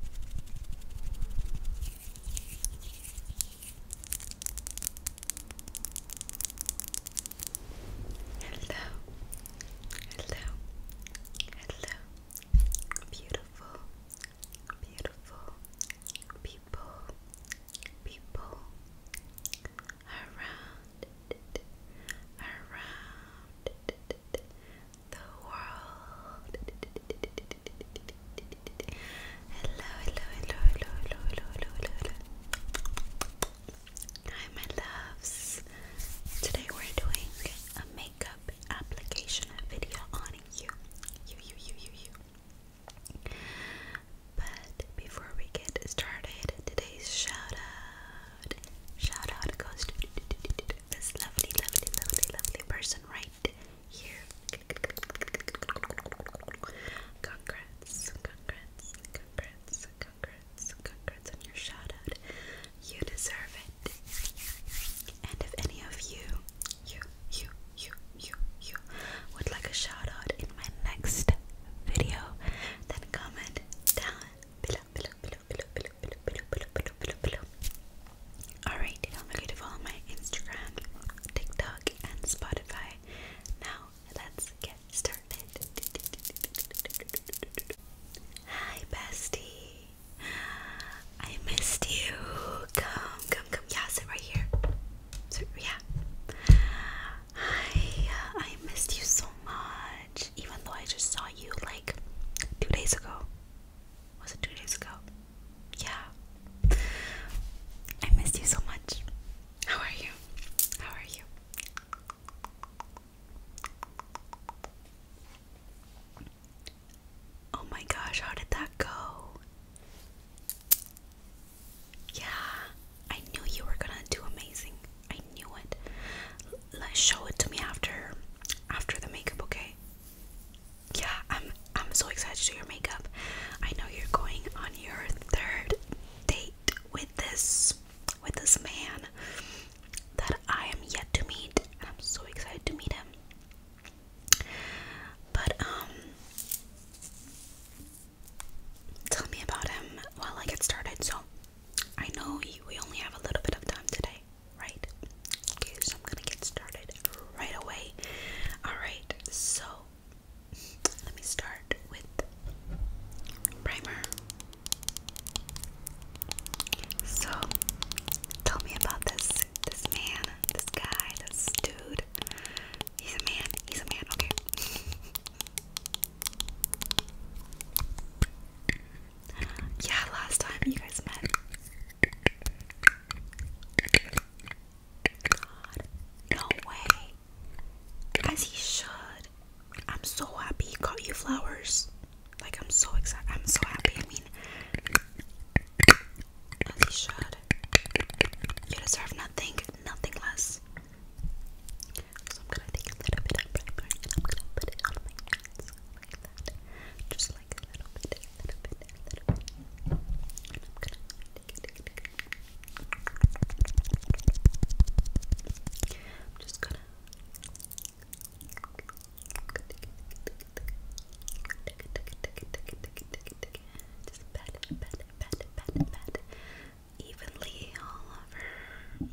Hello, hello, hello, beautiful, beautiful people, people around, around, the world. Hello, hello, hello, hello, hello, hello, hello, hello. Hi, my loves. Today we're doing a makeup application video on you. You, you, you, you, But before we get started, today's shout out, shout out goes to this lovely, lovely, lovely, lovely person right here. Congrats, congrats, congrats, congrats, congrats on your shout You deserve it. And if any of you, you, you, you, you, you would like a shout in my next video, then comment down below, below, below, below, below. Alright, don't forget to follow my Instagram, TikTok, and Spotify. Now, let's get started. Hi, bestie. I missed you. Come, come, come. Yeah, sit right here. Sit, yeah. Hi, uh, I missed you so much even though I just saw you like two days ago. Was it two days ago? Yeah. I missed you so much. How are you? How are you? Oh my gosh, how did that go? Yeah, I knew you were gonna do amazing. I knew it. Let's show it to me after after the makeup, okay? Yeah, I'm I'm so excited to do your makeup. I know you're going on your third date with this with this man that I am yet to meet I'm so excited to meet him. But um tell me about him while I get started. So I know we only have a little bit of time today, right? Okay, so I'm gonna get started right away. Alright, so let me start with primer. So tell me about this this man, this guy, this dude. He's a man, he's a man, okay. Yeah, last time you guys met. God, no way. As he should. I'm so happy he got you flowers. Like I'm so excited. I'm so happy. I mean, as he should. You deserve nothing, nothing less. So I'm gonna take a little bit of primer I'm gonna put it on my hands Just like a little bit, a little bit, a little bit. I'm gonna take it, take it, take it. I'm just gonna Tick, tick, tick, tick, tick, tick, tick, tick. Just pat, pat, pat, pat, pat evenly all over.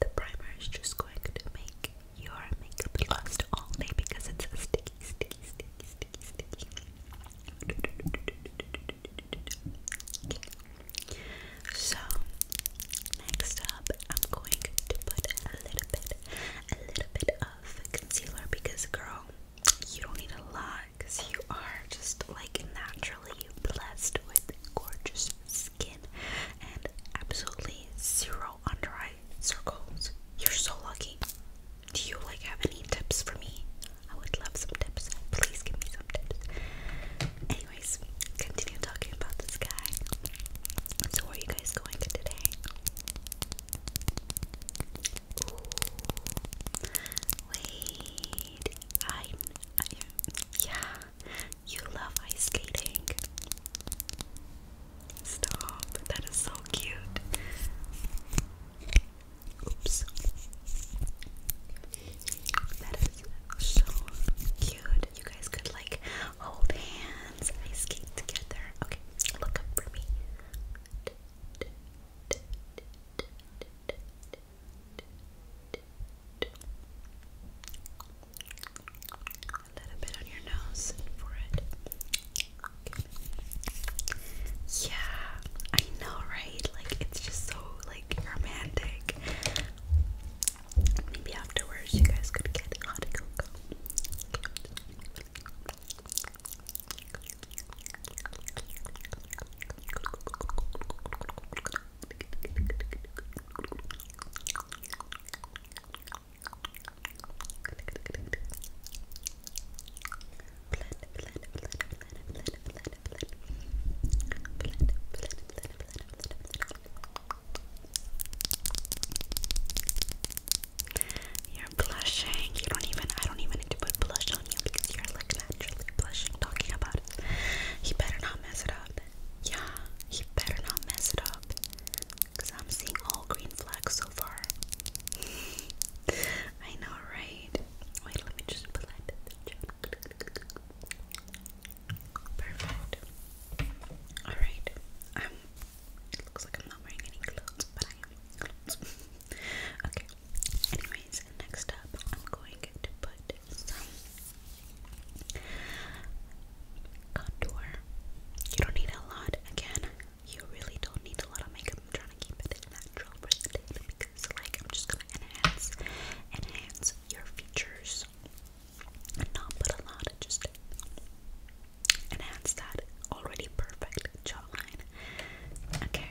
The primer is just going to make your makeup last all day because it's sticky, sticky, sticky, sticky, sticky. So next up, I'm going to put a little bit, a little bit of concealer because, girl, you don't need a lot because you are just like naturally you blessed with gorgeous skin and absolutely zero under eye circles. You're so lucky. Do you like have any tips for me? I would love some tips. Please give me some tips. Anyways, continue talking about this guy. So where are you guys going today? Wait, I yeah, you love ice skating. Stop, that is so cute. Oops. That is so cute. You guys could like hold hands, ice skate together. Okay, look up for me. A little bit on your nose for it. Yeah, I know, right? Like it's just so like romantic. Maybe afterwards you guys could get hot cocoa. You're blushing. You don't even. I don't even need to put blush you because you're like naturally blushing talking about it. He better not mess it up. Yeah, he better not mess it up. Cause I'm seeing all green flags so far. I know, right? Wait, let me just put that Perfect. Alright. Um, looks like I'm not wearing any clothes, but I am okay. Anyways, next up, I'm going to put some contour. You don't need a lot. Again, you really don't need a lot of makeup. I'm trying to keep it natural for the day because, like, I'm just gonna enhance, enhance your features, not put a lot. Just enhance that already perfect jawline. Okay.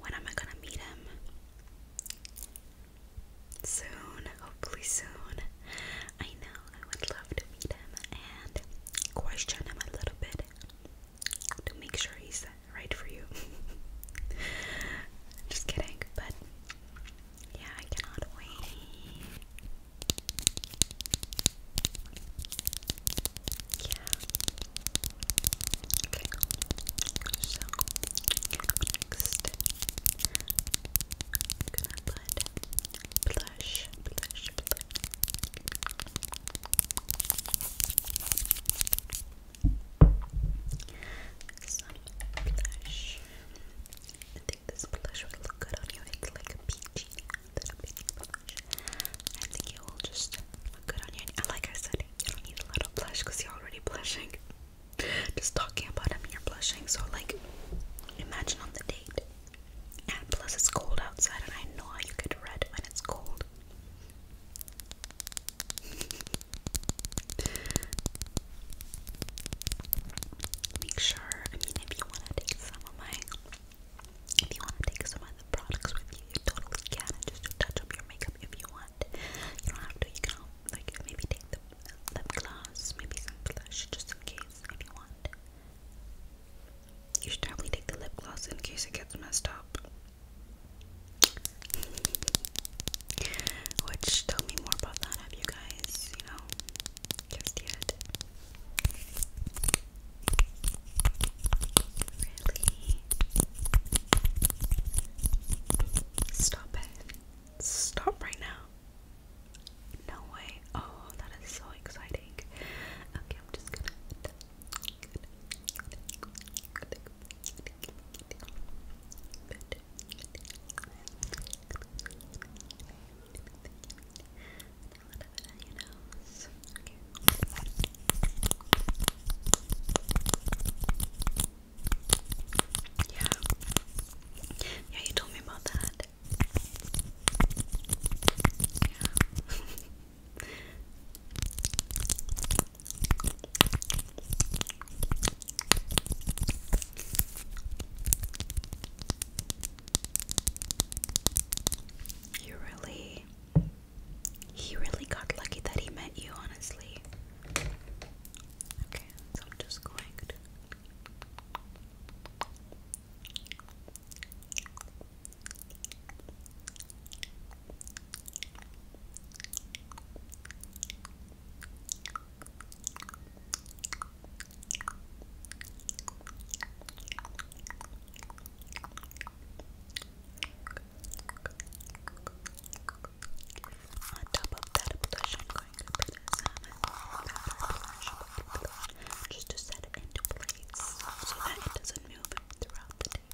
When am I gonna meet him? Soon, hopefully soon. I know I would love to meet him and question him a little bit to make sure he's right for you. Just kidding, but yeah, I cannot wait. Yeah, Okay. So next i blush, blush, blush. Some blush. I think this blush will look good on you. It's like a peachy, little bit blush. I think it will just look good on you. And like I said, you don't need a little blush because you're already blushing. Just talking about him, you're blushing. So, like, imagine on the date. And plus, it's cold outside, and I know how you get red when it's cold. Make sure, I mean, if you want to take some of my, if you want to take some buy the products with you. You totally can. just to touch up your makeup if you want. You don't have to. You can like maybe take the lip gloss, maybe some blush, just in case if you want. You should definitely take the lip gloss in case it gets messed up. Which tell me more about that. Have you guys, you know, just yet? Really? Stop it. Stop right now. No way. Oh, that is so exciting. Okay, I'm just gonna. Yeah. Yeah, you told me about that. You really he really got lucky that he met you, honestly. Okay, so I'm just going on top of that I'm going to put some pepper blush, blush just to set it into place so that it doesn't move throughout the day.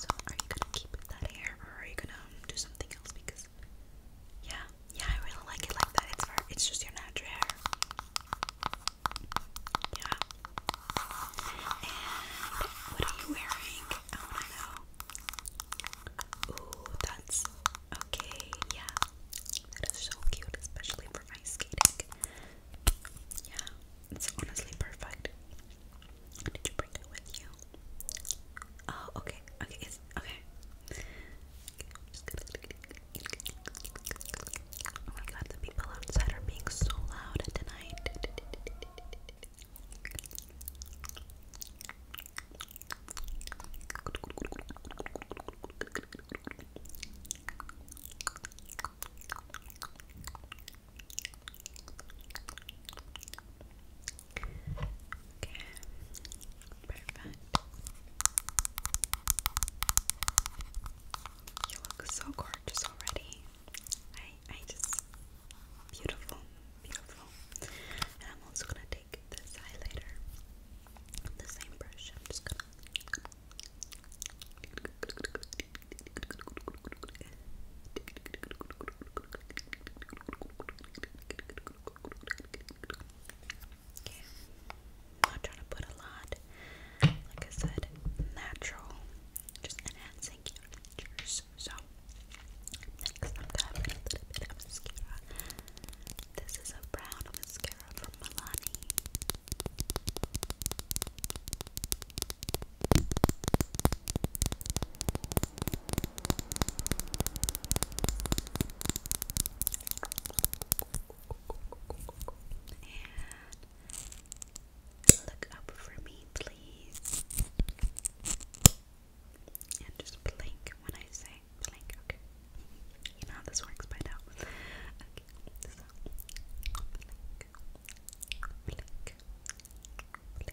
So, are you gonna keep that hair or are you gonna do something else? Because yeah, yeah, I really like it like that. It's very, it's just your natural hair. Yeah. And what are you wearing? I wanna know. Ooh, that's okay. Yeah, that is so cute, especially for ice skating. Yeah, it's honestly perfect. Did you Oh, okay. Okay, okay. Oh my god, the people outside are being so loud tonight. Okay, perfect. You look so gorgeous already. I I just beautiful, beautiful. And I'm also gonna take this highlighter, the same brush. I'm just gonna. Okay. i not trying to put a lot. Like I said, natural. Just enhancing your features. So next I'm grabbing a little bit mascara. This is a brown mascara from Milani. And look up for me, please. And just blink when I say blink. Okay. You know how this works by now. Okay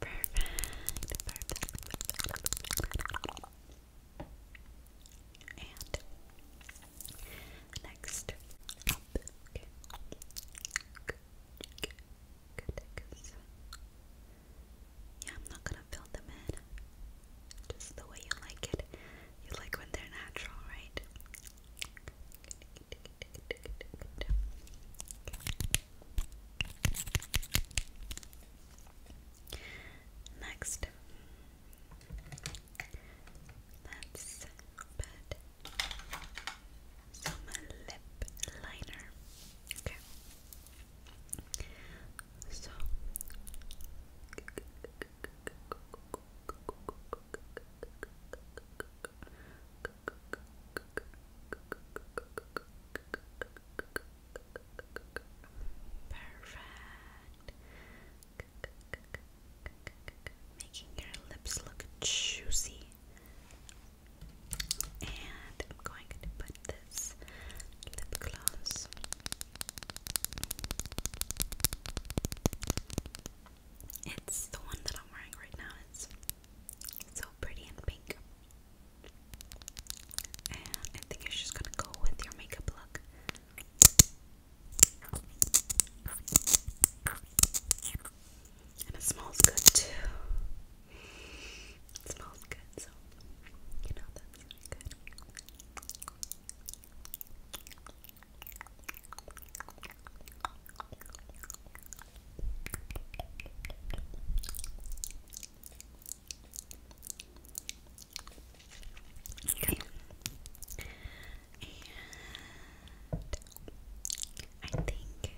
Perfect. And next up, Yeah, I'm not gonna fill them in. Just the way you like it. You like when they're natural, right? Next, let's put some lip liner. Okay. So Perfect. Making your lips look juicy. And I'm going to put this lip gloss it's the one that I'm wearing right now. It's so pretty and pink. And I think it's just gonna go with your makeup look. And it smells good too. It smells good, so you know that's good. Okay. And I think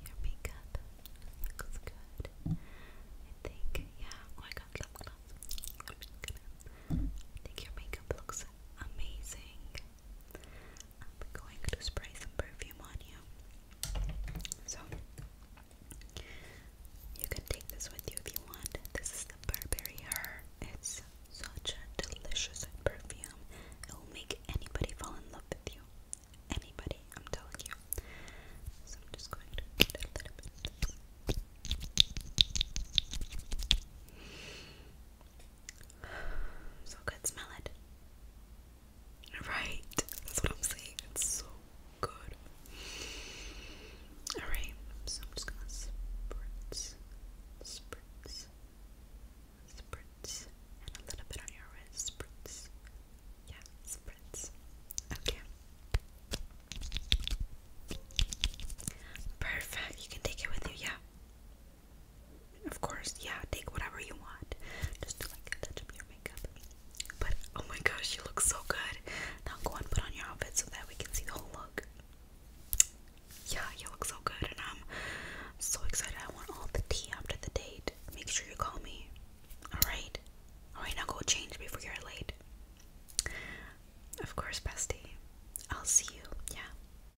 your makeup looks good. I think, yeah. I got lip gloss. I'm just gonna. I think your makeup looks amazing. I'm going to spray some perfume on you. So, you can take this with you if you want. This is the Burberry It's such a delicious perfume. It will make anybody fall in love with you. Anybody, I'm telling you. So, I'm just going to put a little bit. So good, smell it. Right, that's what I'm saying. It's so good. Alright, so I'm just gonna spritz, spritz, spritz, and a little bit on your wrist. Spritz. Yeah, spritz. Okay. Perfect. You can take it with you, yeah. Of course, yeah, take whatever you want. Just to like touch up your makeup. But oh my gosh, you look so good. Now go and put on your outfit so that we can see the whole look. Yeah, you look so good, and I'm so excited. I want all the tea after the date. Make sure you call me. Alright? Alright, now go change before you're late. Of course, bestie. I'll see you. Yeah.